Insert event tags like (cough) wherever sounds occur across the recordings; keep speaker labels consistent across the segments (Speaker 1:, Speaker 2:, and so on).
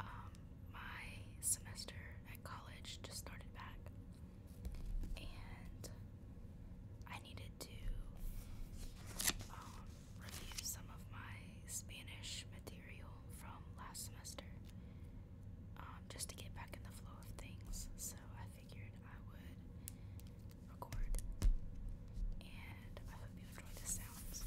Speaker 1: Um, my semester at college just started back, and I needed to um, review some of my Spanish material from last semester um, just to get back in the flow of things. So I figured I would record and I hope you enjoy the sounds.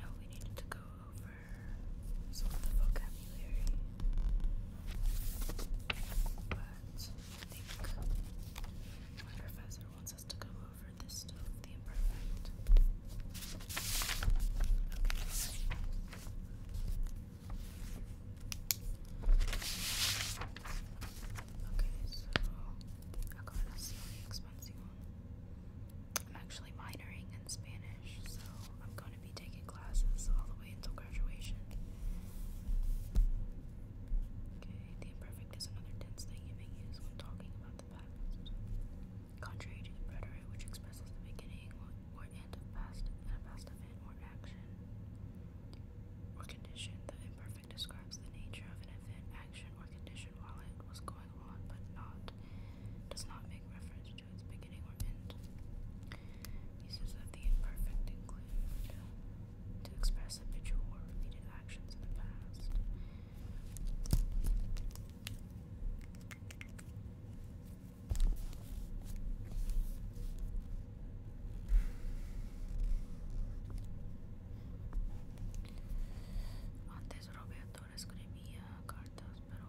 Speaker 1: No, we needed to go over some of the vocabulary, but I think my professor wants us to go over this stuff, the imperfect. Okay. Okay, so I got a slightly expensive I'm actually minoring in Spanish, so I'm going to be taking classes all the way until graduation. Okay, the imperfect is another tense thing you may use when talking about the past. Contrary to the preterite, which expresses the beginning or, end of past, a past event or action or condition, the imperfect describes the nature of an event, action, or condition while it was going on, but not does not make reference to its beginning Uses of the imperfect include to express habitual or repeated actions in the past cartas, pero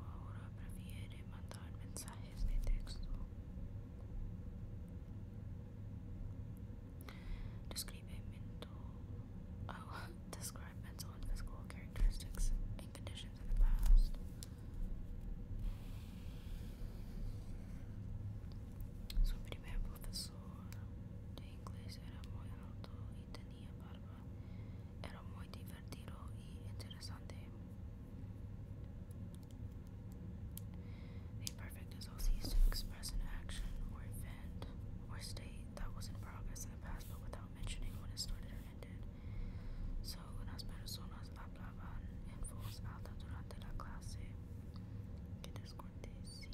Speaker 1: Describe mental, oh, (laughs) physical characteristics and conditions in the past. Su primer profesor de inglés era muy alto y tenía barba. Era muy divertido divertido y A perfect is used to express an action or event or state that was in progress in the past but without mentioning when it started or ended. So, unas personas hablaban en voz alta durante la clase. Que descortesía.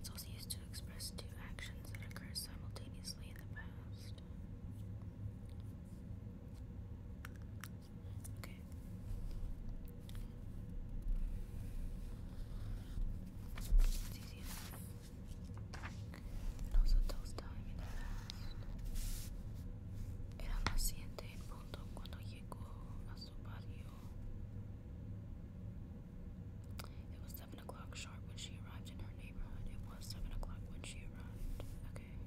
Speaker 1: It's also used to express two actions that occur simultaneously in the past. Okay. It's easy enough. It also tells time in the past. It was seven o'clock sharp when she arrived in her neighborhood. It was seven o'clock when she arrived. Okay. It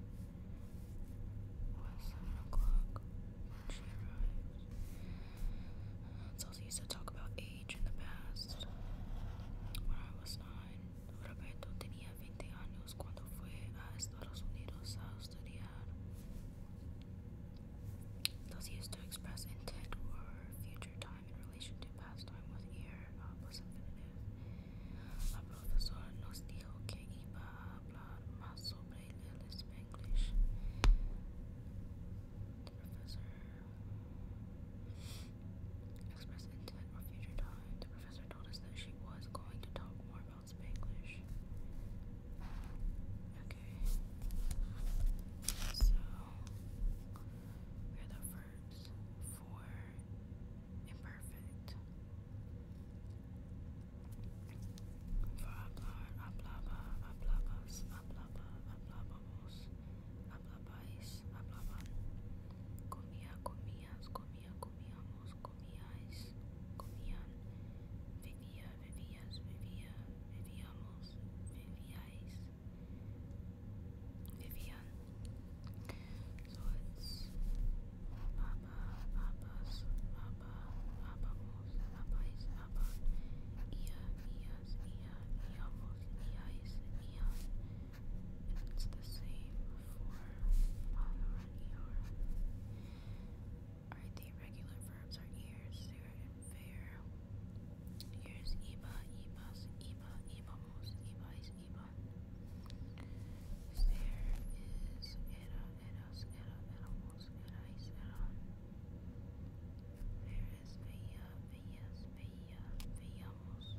Speaker 1: was seven o'clock when she arrived. So they used to talk about age in the past. When I was nine. Roberto tenía 20 años cuando fue a Estados Unidos a estudiar. Thus, used to express intent or future time in relation to past time with ear plus uh, infinitive. La profesora nos dijo que iba a hablar más sobre el professor told us that she was going to talk more about Spanglish. Okay. So, we're the verbs for imperfect. Ablaba, ablaba, ablabas, ablaba, ablabamos, ablabais, ablaban. Comía, comías, comía, comíamos, comíais, comían, bebía, bebías, bebía, bebíamos, bebíais, bebían. So it's Abba, Abbas, Abba, Abbamos, Abbais, Abba, Ia, Ias, Ia, Iamos, Iais, Ian it's the same for all and eor. Alright, the irregular verbs are ears, sir, and fair. Ears, iba, ibas, iba, ibamos, ibais, iban. Fair is era, eras, era, eramos, erais, eran. Fair is veia, veias, veia, veiamos.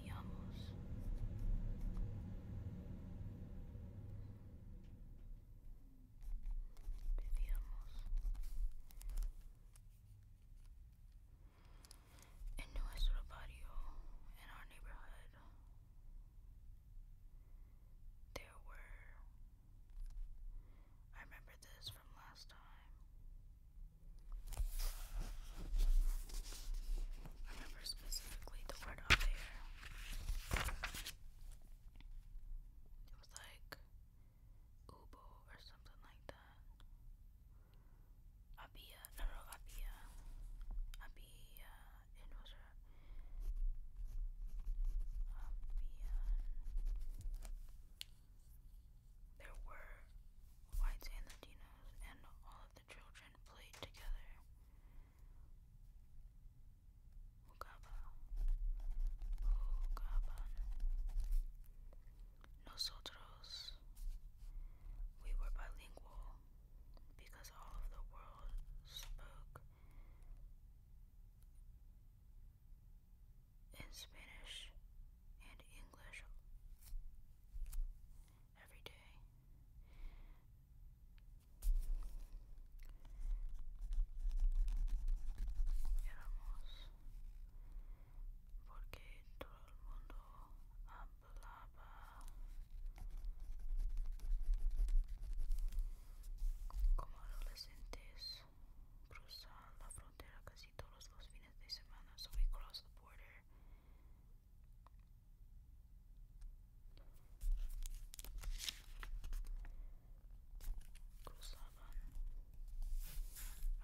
Speaker 1: vivíamos. Vivíamos en nuestro barrio, in our neighborhood. There were, I remember this from last time. Remember specifically the word on there. It was like Ubo or something like that. Abia, no, no, Abia. Abia, it was there were whites and Latinos, and all of the children played together. Ugaba. Ugaban. Nosotros. We were bilingual because all of the world spoke in Spanish and English every day. Éramos porque todo el mundo hablaba como adolescentes cruzar la frontera casi todos los fines fines de semana, so we crossed the border. Kurusaban.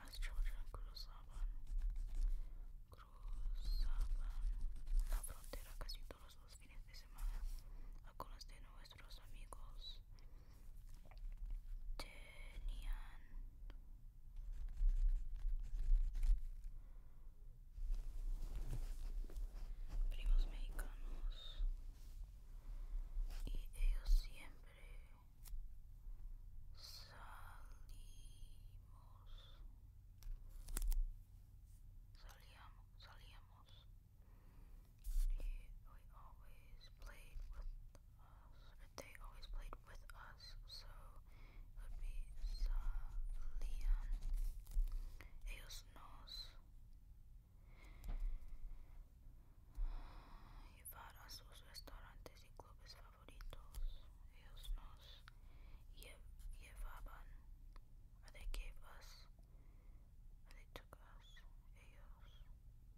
Speaker 1: As children, Kurusaban. Cruzaban la frontera casi todos los fines de semana algunos nuestros amigos primos mexicanos y ellos siempre salimos salíamos salíamos we always played they always played with us, so it would be salían. Ellos Ellos nos llevaban. They gave us. They took us. Ellos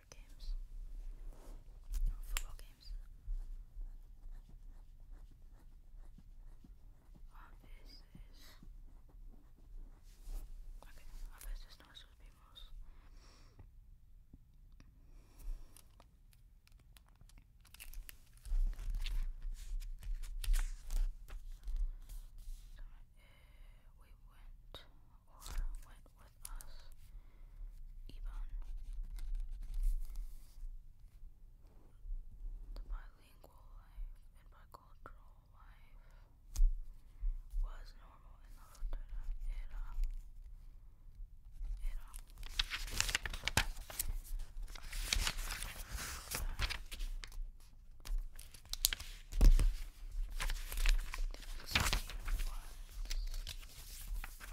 Speaker 1: soccer games. football games. Office okay. Office eh, we went or went with us. Even the bilingual life bicultural life was normal in the Lutheran era. era.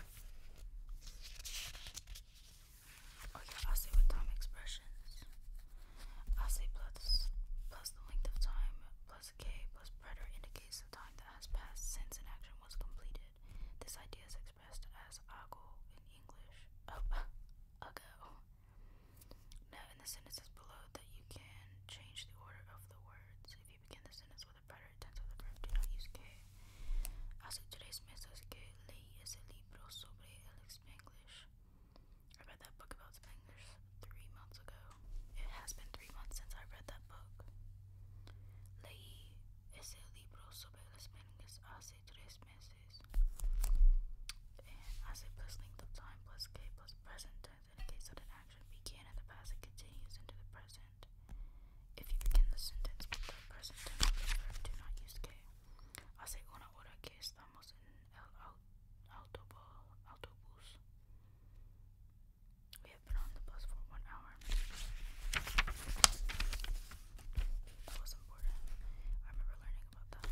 Speaker 1: Okay, i say with time expressions. i say plus plus the length of time plus k plus preter indicates the time that has passed since an action was completed. This idea is expressed as ago in English. Oh, (laughs) ago. Now, in the sentences below, that you can change the order of the words. If you begin the sentence of tense of the verb. Do not use que. Hace tres meses que leí ese libro sobre el Spanglish. I read that book about Spanglish three months ago. It has been three months since I read that book. Leí ese libro sobre el Spanglish hace tres meses. And as it plus length of time plus k plus present tense indicates that an action began in the past and continues into the present present. If you begin the sentence with the present tense the verb, do not use que. Hace una hora que estamos en el autobús. We have been on the bus for one hour. That was important. I remember learning about that.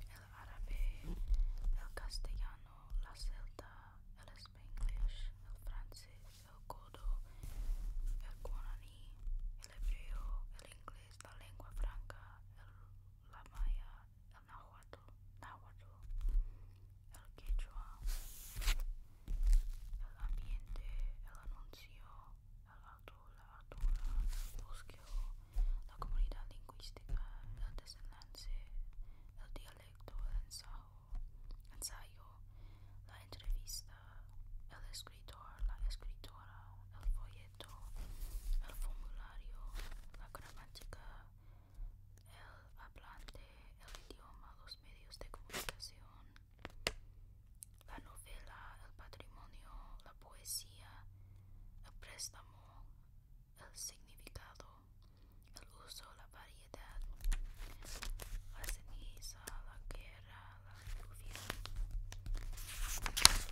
Speaker 1: el árabe, el castellano, la celta, el spanglish, el francés, el codo, el guaraní, el hebreo, el inglés, la lengua franca, la maya, el náhuatl, náhuatl el quechua, el ambiente, el anuncio, el auto, la autora, el bosqueo, la comunidad lingüística, el desenlace, el dialecto, el ensayo, la entrevista, el escritor, la escritora, el folleto, el formulario, la gramática, el hablante, el idioma, medios de comunicación, la novela, el patrimonio, la poesía, el préstamo, el significado, el uso, la variedad, la ceniza, la guerra, la lluvia,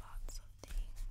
Speaker 1: lots of things.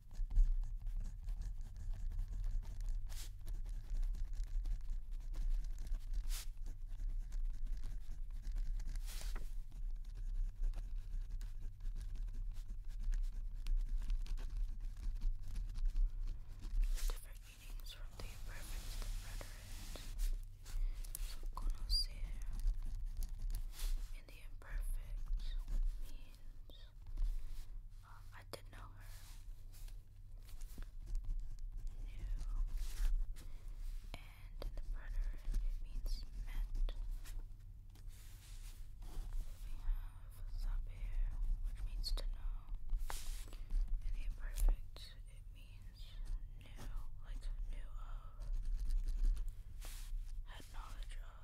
Speaker 1: Different meanings from the perfect the preterite. So conocer in the imperfect Matthews. Uh, um, I did know her. New. And in the preterite, it means met. We have saber, which means to know. In the imperfect, it means new, like new of, had knowledge of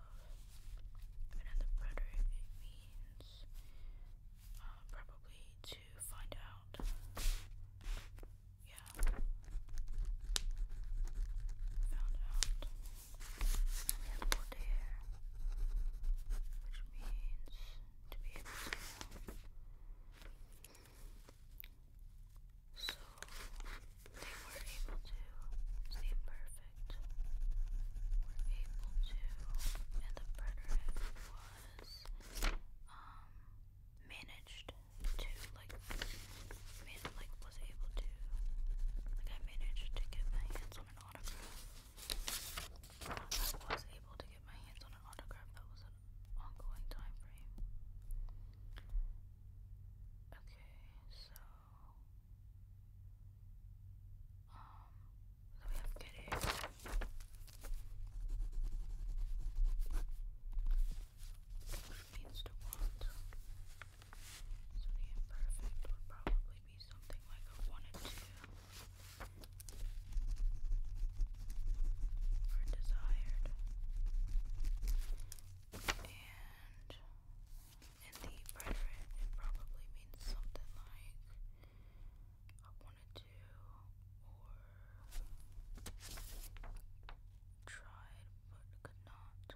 Speaker 1: another predator, it means uh, probably to find out. Yeah. Found out. We have which means to be able to. So they were able to stay perfect. Were able to, and the predator was um, managed to like man like was able to like I managed to get my hands on an autograph. I was able to get my hands on an autograph that was an ongoing time frame. Okay, so um, so we have kitties. Which means to want. So the imperfect would probably be something like a one and Or desired. And in the rhetoric, it probably means something like I wanted to or tried but could not. Tried but failed.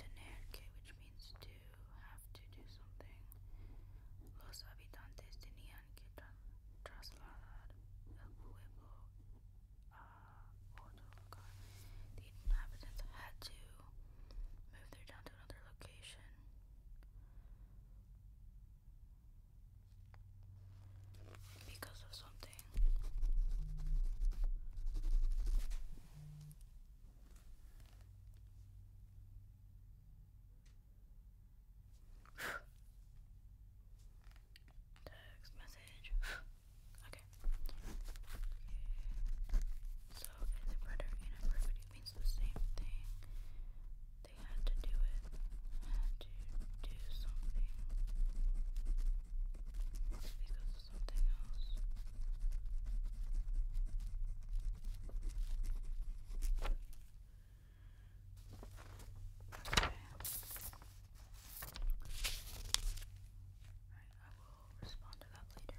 Speaker 1: Then we have which means to have to do something. Los habitantes tenían que trasladar el pueblo a otro lugar. The inhabitants had to move their down to another location. Because of something. Text message. (sighs) okay. So is it and imperfect? means the same thing. They had to do it. Had to do something. Because something else. Okay. Right, I will respond to that later.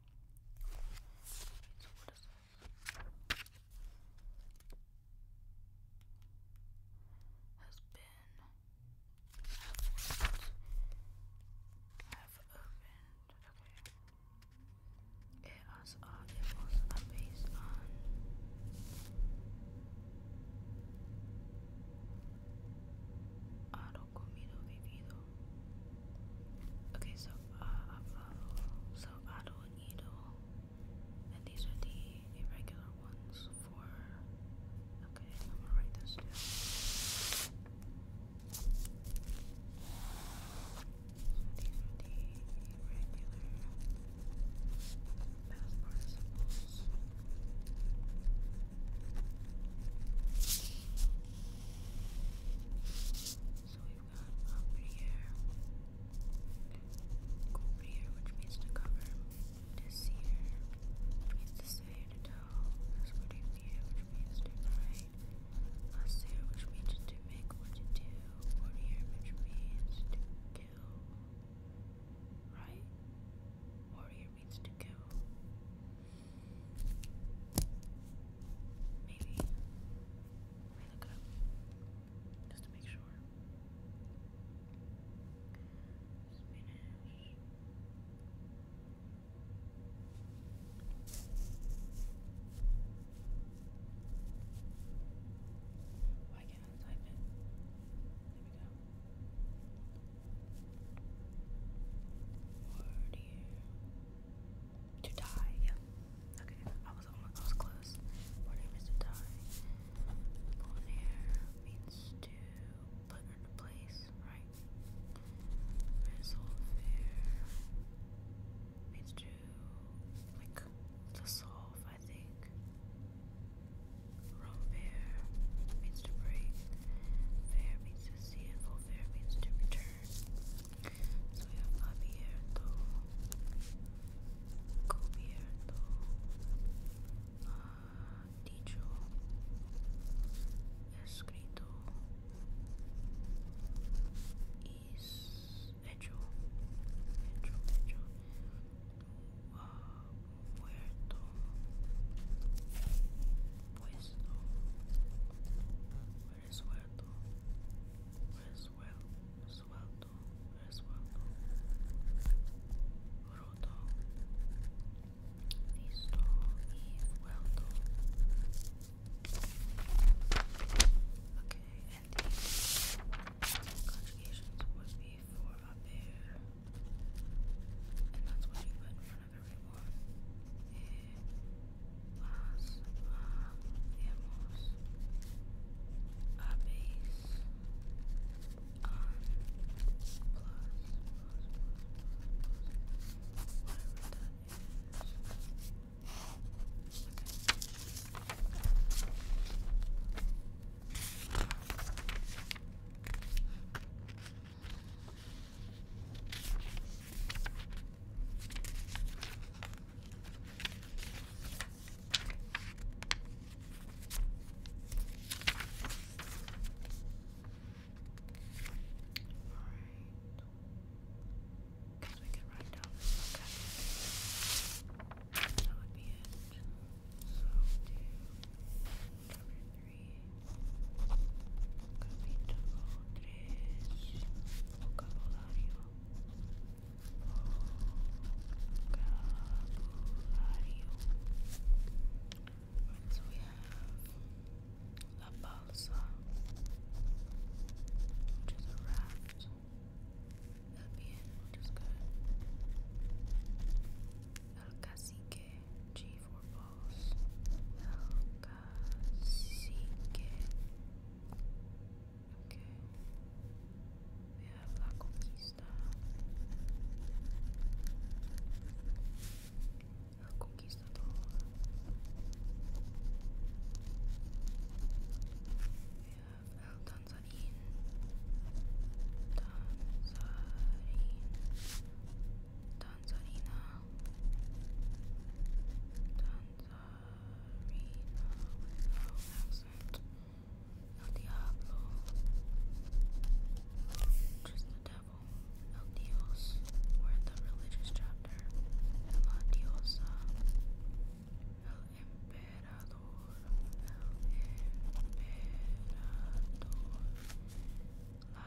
Speaker 1: so what is Has been have opened. It was it was based on comido vivido. Okay, so uh, avalo, so ado and ido, and these are the irregular ones for. Okay, I'm gonna write this down. these are the irregular past participles. So we've got up here, which means to cover. This here, means to say to toe. This would which means to write. Us here, which means to make or to do. Or which means to kill. Right? Warrior means to kill. Maybe. Let look it up. Just to make sure. Spinach. Why can't I type it? There we go. Word here. To die, yeah. Okay, I was almost I was close. Word here is to die. Born here means to put into place, right? Resolve here means to like to solve, I think. Romper means to break. Fair means see if Volfair means So we have Abierto, Cubierto, uh, Dicho, Escrito, Hecho, Hecho, Hecho, uh, Muerto, Pues Resuelto. Resuelto. Resuelto. Resuelto. Roto. Listo y vuelto. Okay, and the conjugations would be for a bear. And that's what you put for another reward. Eh, las hemos habéis on plus, plus, plus, plus, plus, because we could run down this okay. That would be it. So do Vocabulario. So we have La Balsa, which is a raft. El bien, which is good. El cacique, G for balls. Cacique. Okay. We have La Conquista. El Conquistador. We have El Tanzarin. Tanzarin. Tanzarin. Tanzarina Tanzarina without accent El Diablo Just the devil El Dios We're in the religious chapter La Diosa El Emperador El Emperador La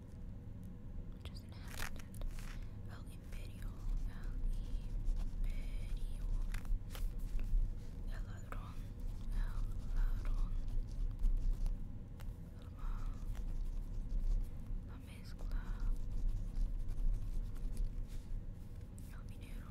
Speaker 1: Which is El Imperio. El Imperio. El Ladrón. El Ladrón. La Mezcla. El Minero.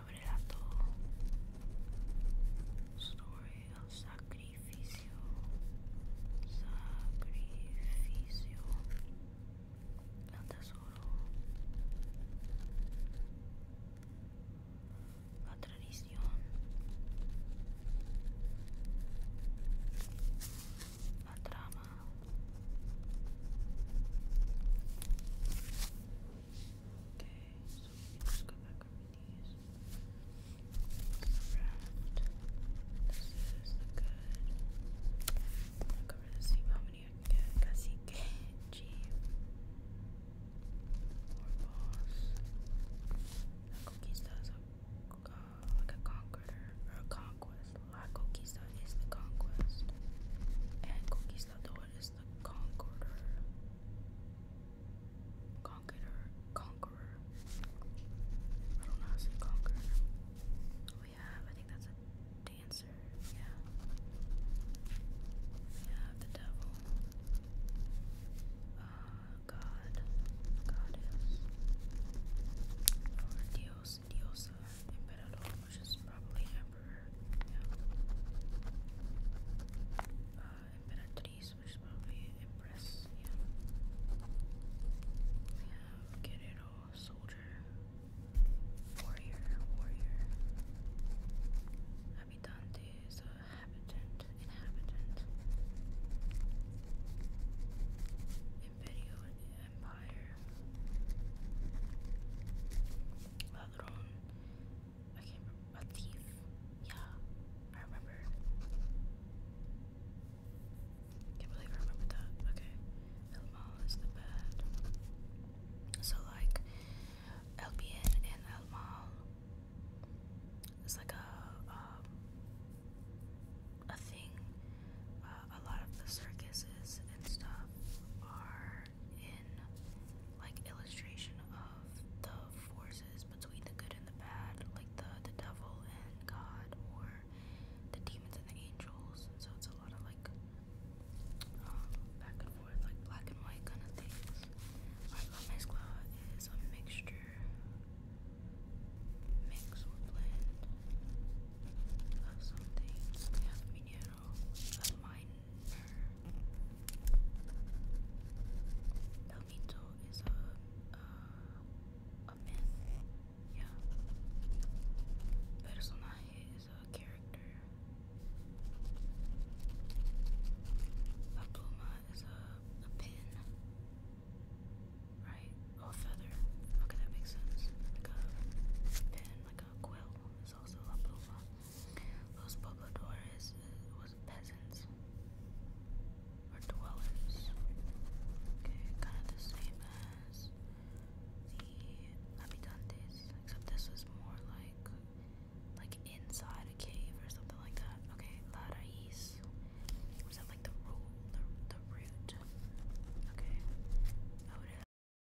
Speaker 1: abrirá todo. sacrificio. Sacrificio. El tesoro. La tradición. La trama. Okay, so let's go back over these. This is the good. I'm gonna cover see how many I can get. Cacique, Jeep, or boss. La Conquista is like a conqueror, or conquest. La Conquista is the conquest. And Conquistador Where's the Conqueror? Conqueror, Conqueror. I don't know how to say Conqueror. We oh, have, I think that's a dancer. Yeah. We have the devil. Uh, God, Goddess. Or Dios, Diosa, Emperador, which is probably Emperor yeah. Uh, Imperatrice, Empress, We have Guerrero, Soldier, Warrior, Warrior. Habitante is a habitant, inhabitant. Imperial Empire. Ladron I can't remember. A thief. Yeah, I remember. Can't believe I remember that. Okay, Elmal is the bad. So like, Albion and Elmal. It's like a um, a thing. Uh, a lot of the circuses and stuff are in like illustration of the forces between the good and the bad, like the the devil and God, or the demons and the angels. So it's a lot of like um, back and forth, like black and white kind of things. Alright, La Mezcla is a mixture, mix blend of some things a minor. El mito is a a myth. Yeah. Personaje is a character. La pluma is a a pin. Right? a feather. Okay, that makes sense. Like a pen, like a quill uh, was also La pobladores was peasants or dwellers. Okay, kind of the same as the habitantes, except this was more like like inside a cave or something like that. Okay, la Was that like the root? Okay.